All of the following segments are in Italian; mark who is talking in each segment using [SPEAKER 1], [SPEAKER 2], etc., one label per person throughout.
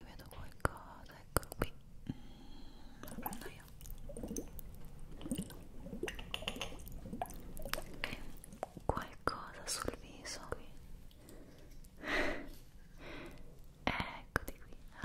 [SPEAKER 1] vedo qualcosa, eccolo qui mm, lo prendo io qualcosa sul viso qui eccoti qui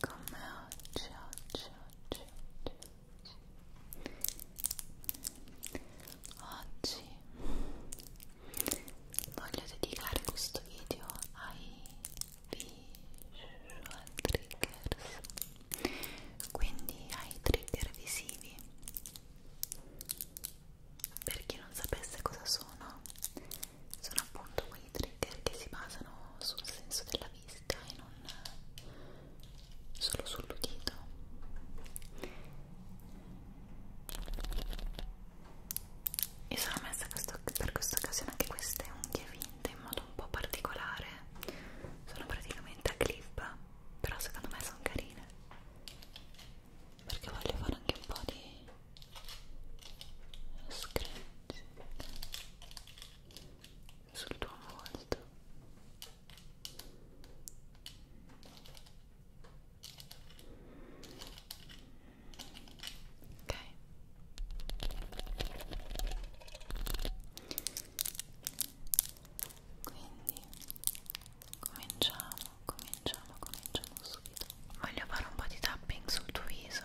[SPEAKER 1] come oggi, oggi, oggi, oggi, oggi. Oggi voglio dedicare questo video ai visual triggers, quindi ai trigger visivi. Per chi non sapesse cosa sono, sono appunto quei i trigger che si basano sul senso della vista e non eh, solo sull'udito e sono messa questo, per questa occasione anche queste unghie finte in modo un po' particolare sono praticamente a clip però secondo me sono carine perché voglio fare anche un po' di scratch sul tuo volto ok quindi cominciamo cominciamo cominciamo subito voglio fare un po' di tapping sul tuo viso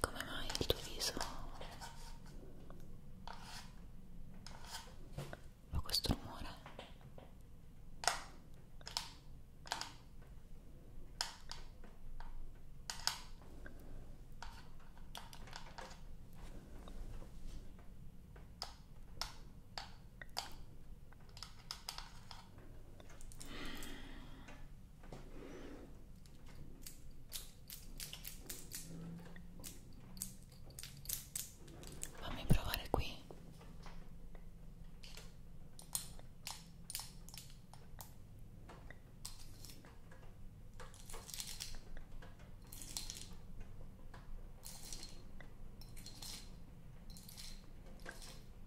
[SPEAKER 1] Come mai il tuo viso fa questo rumore? Fammi provare qui.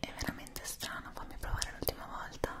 [SPEAKER 1] È veramente strano, fammi provare l'ultima volta.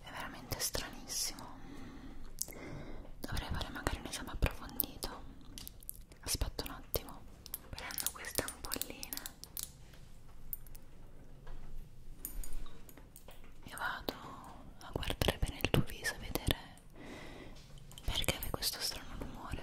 [SPEAKER 1] è veramente stranissimo dovrei fare magari un esame approfondito aspetta un attimo prendo queste ampolline e vado a guardare bene il tuo viso a vedere perché aveva questo strano rumore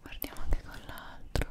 [SPEAKER 1] Guardiamo anche con l'altro.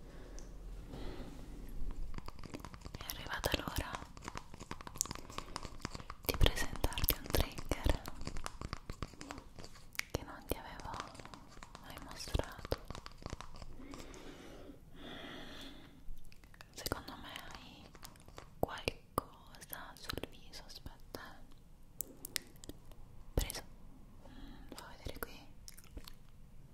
[SPEAKER 1] È arrivata l'ora di presentarti un trigger che non ti avevo mai mostrato. Secondo me hai qualcosa sul viso, aspetta. Eh. Preso. Mm, lo vedere qui.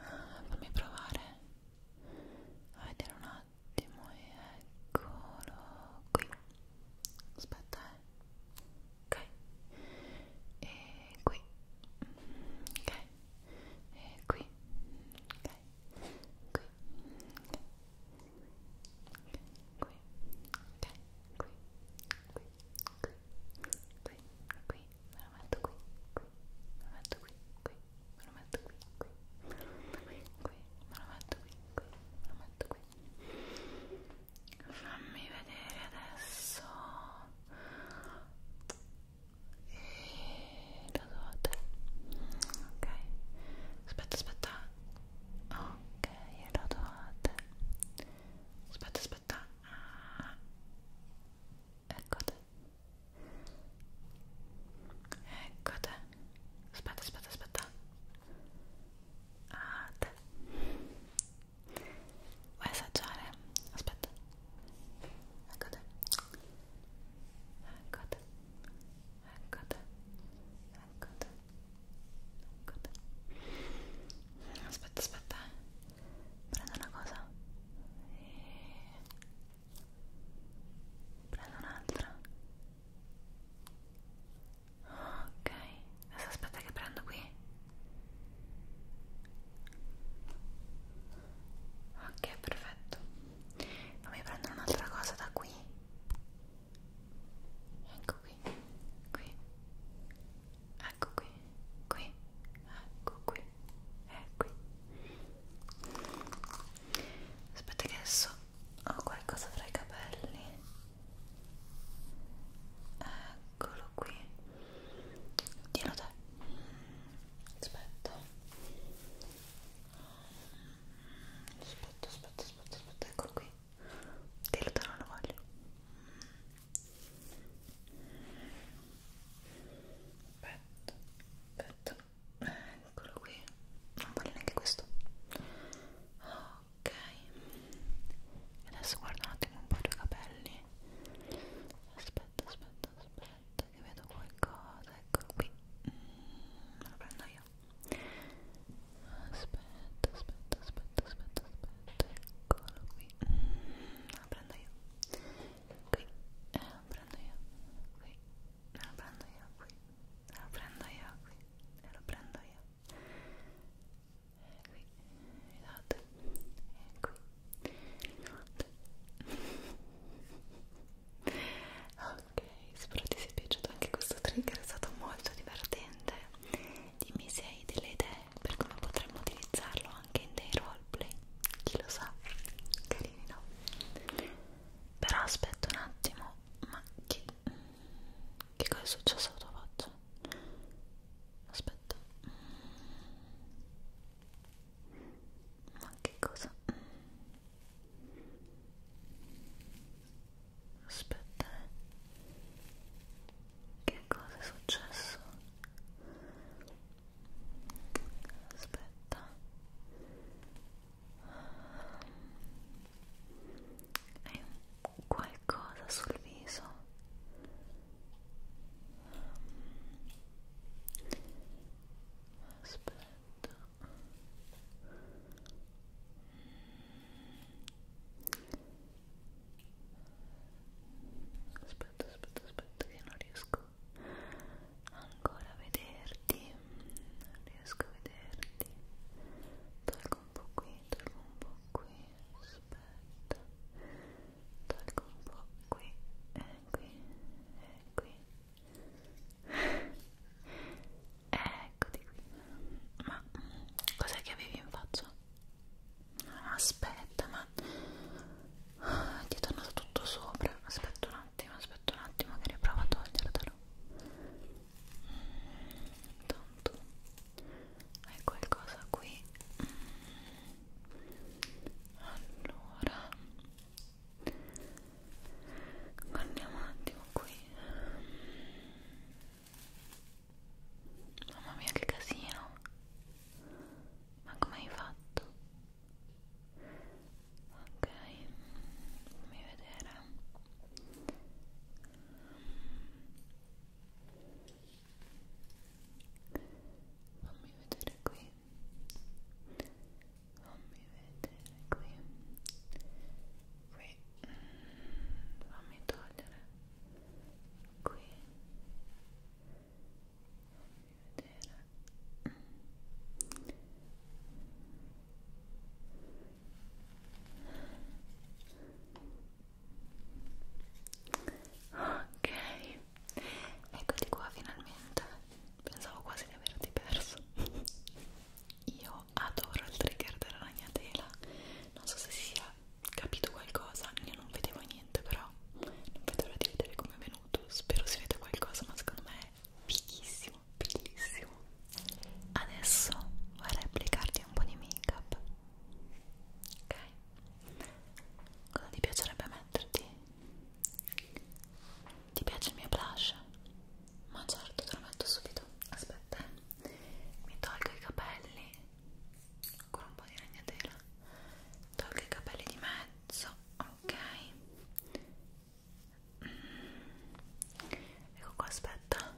[SPEAKER 1] Ah, fammi provare a vedere un attimo eccolo qui aspetta eh ok e qui ok e qui ok qui ok qui ok qui qui qui, qui, qui, me lo metto qui, qui, me lo metto qui, qui, me lo metto qui, qui, qui, me lo metto qui, qui, me lo metto qui. Fammi vedere adesso. E da dove? Ok. Aspetta, aspetta. Ok, da dove? Aspetta, aspetta aspetta eccote eccote aspetta aspetta aspetta ah, te. vuoi assaggiare? aspetta eccote eccote eccote eccote aspetta aspetta prendo una cosa e prendo un'altra ok adesso aspetta che prendo qui ok perfetto fammi prendere un'altra cosa da qui ecco qui qui ecco qui, qui, ecco qui, è qui. Aspetta che adesso ho qualcosa fra i capelli. Eccolo qui. Dillo te. Aspetta. Aspetta, aspetta, aspetta, aspetta, eccolo qui. Dillo te non lo voglio. Aspetta, aspetta. Eccolo qui. Non voglio neanche questo. Ok. Adesso guarda un attimo un po' i tuoi capelli. Aspetta, aspetta, aspetta. Che vedo qualcosa. Eccolo qui. Mm, me lo prendo io aspetta aspetta aspetta aspetta aspetta eccolo qui la mm, prendo io qui la eh, prendo io qui la prendo io qui la prendo io qui e lo prendo io e eh, qui esatto e eh, qui esatto ok spero ti sia piaciuto anche questo trigger è stato molto divertente dimmi se hai delle idee per come potremmo utilizzarlo anche in dei roleplay chi lo sa carini no però aspetta un attimo ma che mm, che cosa è successo alla tua faccia aspetta mm, ma che cosa mm aspetta eh. che cosa è successo? aspetta hai qualcosa sul viso? aspetta aspetta aspetta aspetta che non riesco ancora a vederti non riesco a vederti tolgo un po' qui tolgo un po' qui aspetta tolgo un po' qui e qui e qui Eccoti qui. Ma cos'è che avevi in faccia? Aspetta, ma ti è tornato tutto sopra. Aspetta un attimo, aspetta un attimo che riprovo a togliertelo. Intanto hai qualcosa qui. Allora guardiamo un attimo qui Mamma mia che casino Ma come hai fatto? Ok Fammi vedere Fammi vedere qui Fammi vedere qui qui fammi togliere qui fammi vedere ok eccoti qua finalmente pensavo quasi di averti perso io io adoro il trigger della ragnatela non so se si sia capito qualcosa io non vedevo niente però non vedo l'ora di vedere come è venuto spero si veda qualcosa ma secondo me è fighissimo bellissimo adesso vorrei applicarti un po' di make up ok cosa ti piacerebbe metterti? ti piace il mio blush? ma certo te lo metto subito aspetta eh mi tolgo i capelli con un po' di ragnatela tolgo i capelli di mezzo ok mm. ecco qua aspetta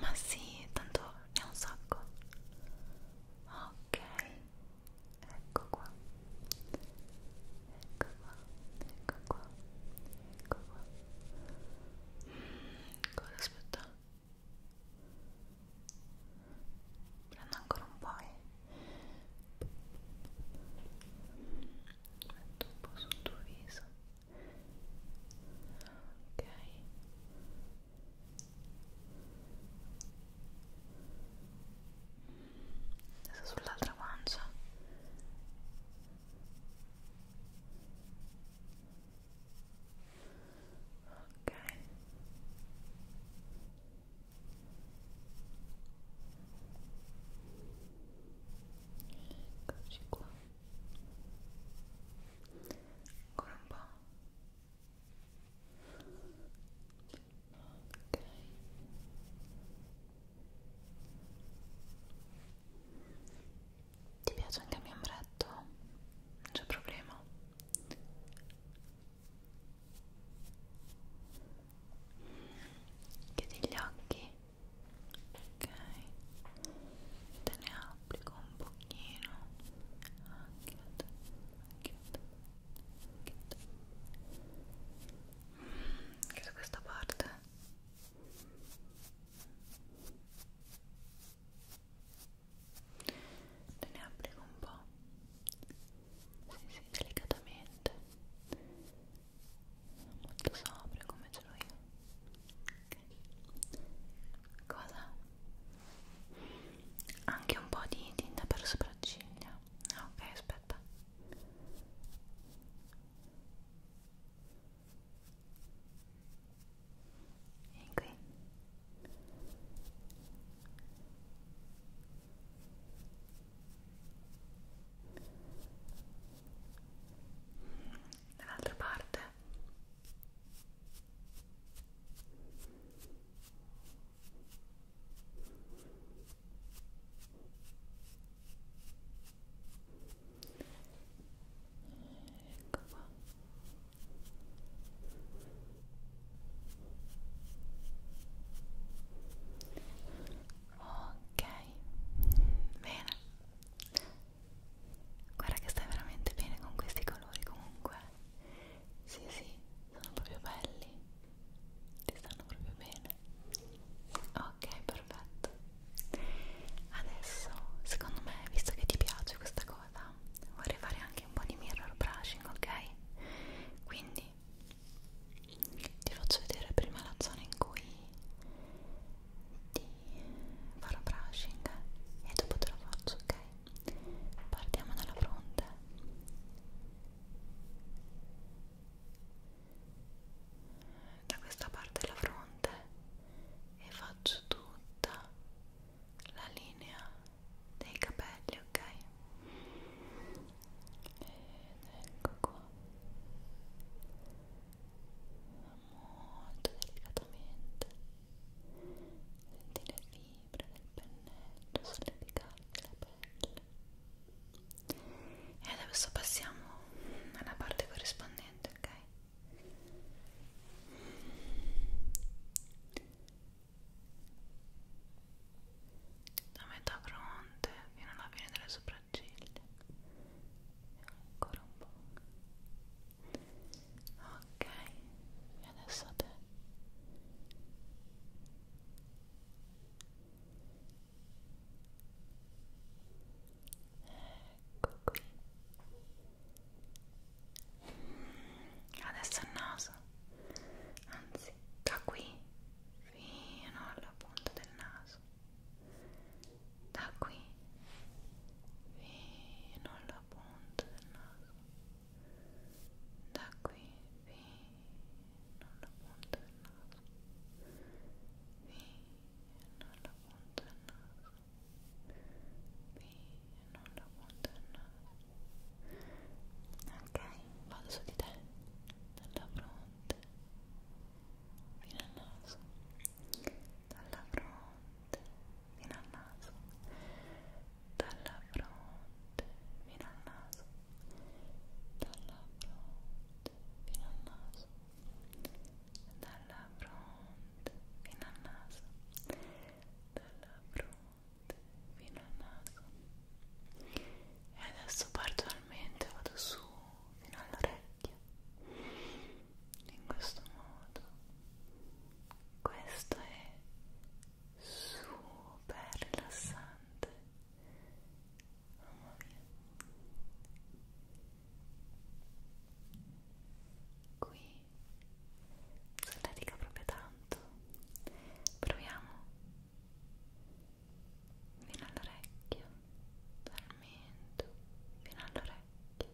[SPEAKER 1] ma sì tanto ne ho un sacco ok ecco qua ecco qua, ecco qua, ecco qua mm, cosa ecco, aspetta? prendo ancora un po' e eh. metto un po' sul tuo viso ok Mm adesso sull'altra pancia ok eccoci qua ancora un po' Ti piace anche il mio ombretto? Non c'è problema. Chiudi gli occhi. Ok. Te ne applico un pochino. Anche te, anche te, anche te anche da questa parte te ne applico un po' sì, sì, delicatamente molto sobrio come ce l'ho io okay. cosa? anche un po' di tinta per sopracciglia ok aspetta Vieni qui. Dall'altra parte ecco qua ok bene guarda che stai veramente bene con questi colori comunque sì sì sono proprio belli ti stanno proprio bene ok perfetto adesso secondo me visto che ti piace questa cosa vorrei fare anche un po' di mirror brushing ok quindi ti faccio vedere prima la zona in cui ti farò brushing e dopo te lo faccio ok partiamo dalla fronte da questa parte della fronte e faccio tutta la linea dei capelli ok ed ecco qua molto delicatamente sentire le fibre del pennello sollevicarsi la pelle e adesso passiamo alla parte corrispondente ok da metà fronte fino alla fine delle sopracciglia e ancora un po' ok e adesso a te Ecco qui. Adesso il naso, anzi, da qui fino alla punta del naso, da qui fino alla punta del naso, da qui fino appunto il naso fino all'appunto il naso fino all'appunto il naso ok, vado su di te dalla fronte fino al naso dalla fronte fino al naso dalla fronte fino al naso dalla fronte fino al naso dalla fronte fino al naso dalla fronte fino al naso e adesso parzialmente vado su fino all'orecchio in questo modo questo è super rilassante mamma mia qui si dedica proprio tanto proviamo fino all'orecchio dal mento fino all'orecchio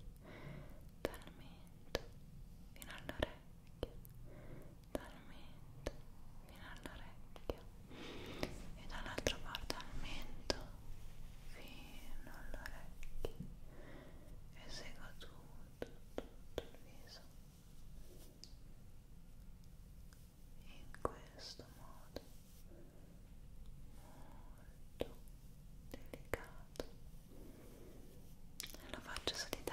[SPEAKER 1] dal mento fino all'orecchio talmento fino all'orecchio e dall'altra parte al mento fino all'orecchio e seguo tutto, tutto il viso in questo modo molto delicato e lo faccio su di te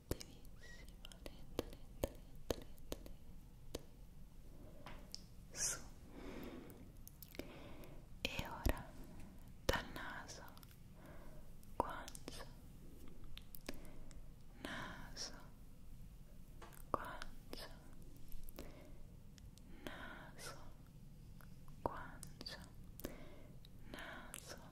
[SPEAKER 1] attivissima lenta lenta lenta lenta lenta su e ora dal naso guancia naso guancia naso guancia naso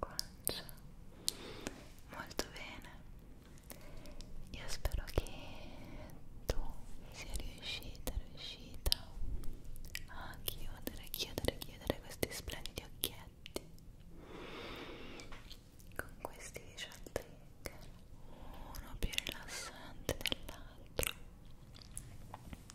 [SPEAKER 1] guancia molto bene io spero che tu sia riuscita riuscita a chiudere chiudere chiudere questi splendidi occhietti con questi 18 trigger uno più rilassante dell'altro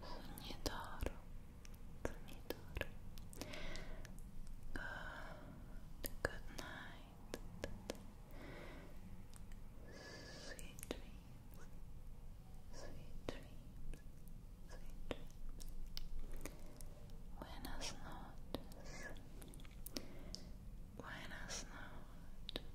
[SPEAKER 1] Sogni d'oro, Good, night. Sweet dreams, sweet dreams, sweet dreams. Buenas noches, buenas noches.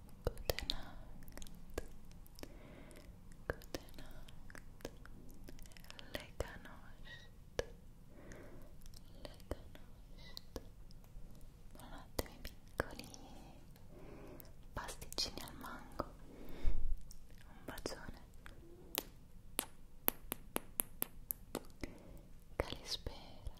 [SPEAKER 1] Good night. Good night. Lega nost. Lega nost. Buonanotte miei piccoli pasticcini al mango. Un bacione. Calispera.